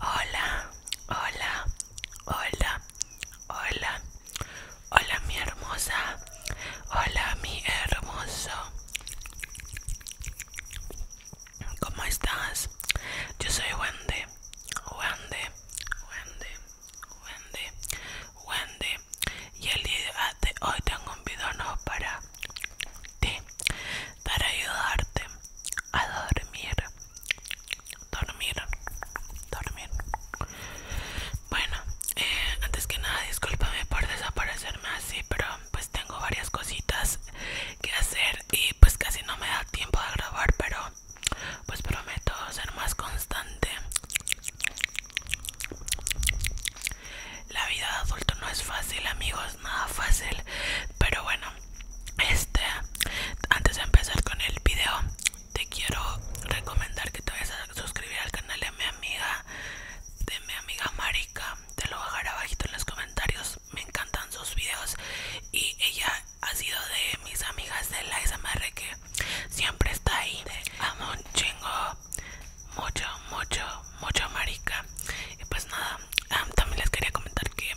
Hola, hola, hola, hola, hola mi hermosa, hola mi hermoso. ¿Cómo estás? Yo soy Wende, Wende, Wende, Wende, Wendy, y el día de hoy tengo un video nuevo para ti para ayudarte a dormir dormir dormir bueno eh, antes que nada discúlpame por desaparecerme así pero pues tengo varias cositas que hacer y pues casi no me da tiempo de grabar pero pues prometo ser más constante la vida de adulto no es fácil, amigos, nada fácil. Pero bueno, este, antes de empezar con el video, te quiero recomendar que te vayas a suscribir al canal de mi amiga, de mi amiga Marika. Te lo dejar abajito en los comentarios. Me encantan sus videos y ella ha sido de mis amigas de la SMR que siempre está ahí. Amo un chingo, mucho, mucho, mucho marica. Y pues nada, también les quería comentar que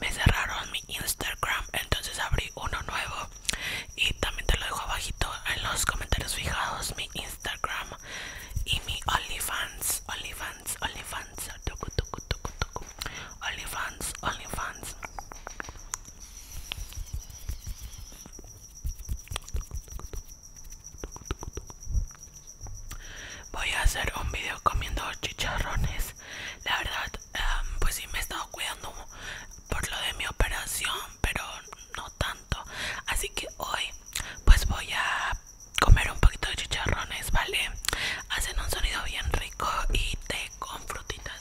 me cerraron mi Instagram, entonces abrí uno nuevo. Y también te lo dejo abajito en los comentarios fijados, mi Instagram y mi OnlyFans, OnlyFans, OnlyFans, OnlyFans, OnlyFans. Voy a hacer un video comiendo chicharrones. La verdad, em, pues sí me he estado cuidando por lo de mi operación, pero no tanto. Así que hoy, pues voy a comer un poquito de chicharrones, ¿vale? Hacen un sonido bien rico y te con frutitas.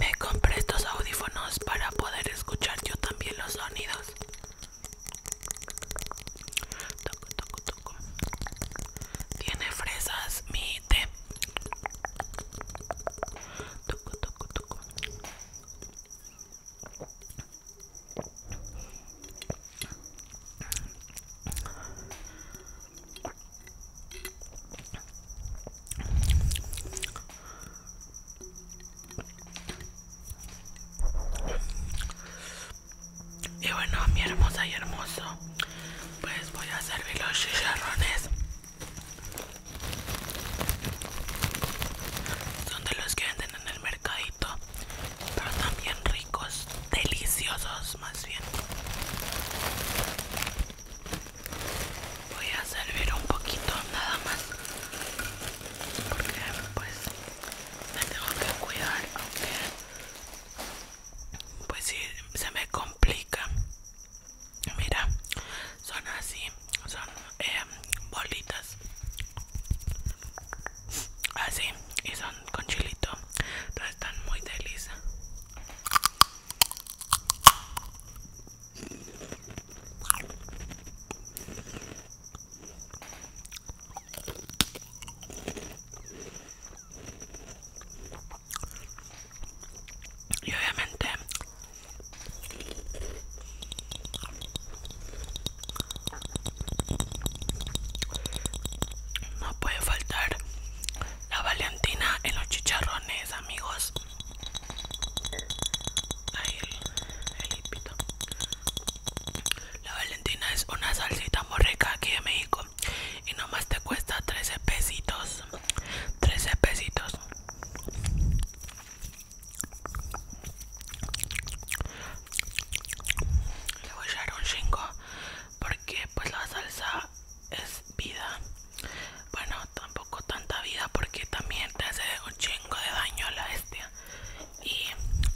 Me compré estos audífonos para poder escuchar yo también los sonidos. Tiene fresas mi té. Y bueno, mi hermosa y hermoso, pues voy a servir los chicharrones. Son de los que venden en el mercadito. Pero también ricos, deliciosos más bien. Voy a servir un poquito nada más. Porque pues me tengo que cuidar, aunque pues si se me complica. Mira, son así, son eh, bolitas Así, ah, y son con chilito. pero están muy delicas. Y obviamente no puede faltar la Valentina en los chicharrones, amigos. La Valentina es una salsita muy aquí de México. Y nomás te cuesta 13 pesitos. 13 pesitos le voy a echar un chingo porque pues la salsa es vida bueno tampoco tanta vida porque también te hace un chingo de daño la bestia y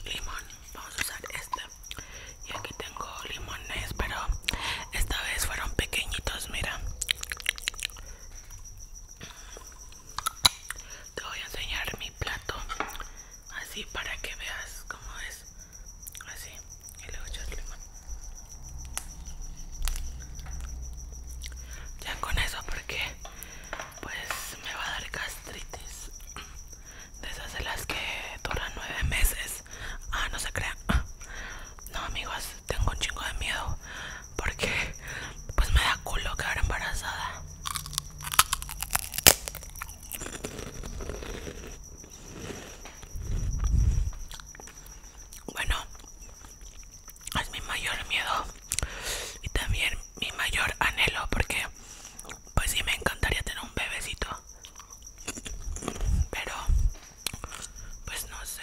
limón vamos a usar este y aquí tengo limones pero esta vez fueron pequeñitos mira te voy a enseñar mi plato así para que veas cómo es así y luego echas limón ya con eso porque pues me va a dar gastritis de esas de las que duran nueve meses ah no se crean no amigos tengo un chingo de miedo porque pues me da culo quedar embarazada bueno, es mi mayor miedo y también mi mayor anhelo porque pues sí me encantaría tener un bebecito. Pero pues no sé.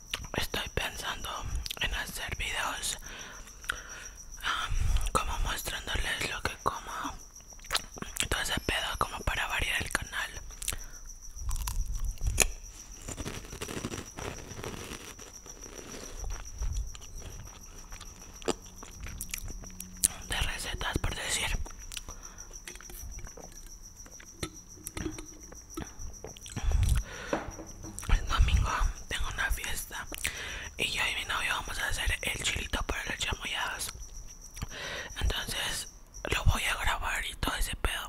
estoy pensando en hacer videos como mostrándoles lo que como todo ese pedo como para variar el canal de recetas por decir el domingo tengo una fiesta y yo y mi novio vamos a hacer el chilito para las chamoyadas. Entonces lo voy a grabar y todo ese pedo.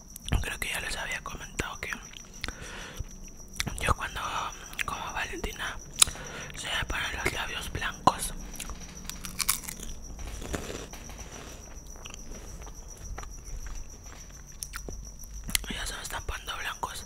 creo que ya les había comentado que yo cuando como Valentina se me ponen los labios blancos ya se me están poniendo blancos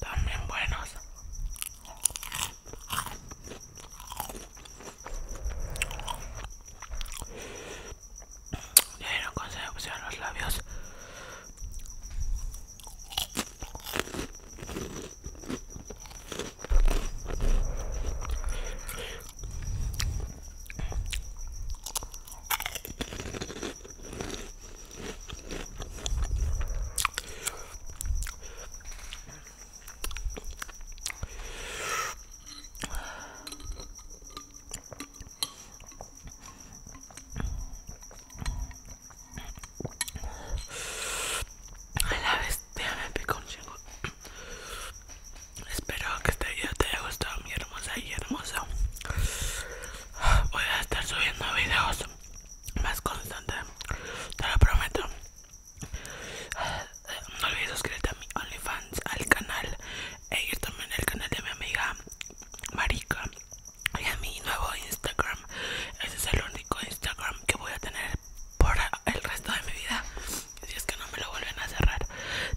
también buenos. Ya dieron a los labios. A la vez me picar un chingo. Espero que este video te haya gustado, mi hermosa y hermosa Voy a estar subiendo videos más constante te lo prometo no olvides suscribirte a mi OnlyFans al canal e ir también al canal de mi amiga Marica y a mi nuevo Instagram ese es el único Instagram que voy a tener por el resto de mi vida si es que no me lo vuelven a cerrar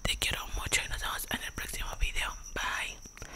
te quiero mucho y nos vemos en el próximo video bye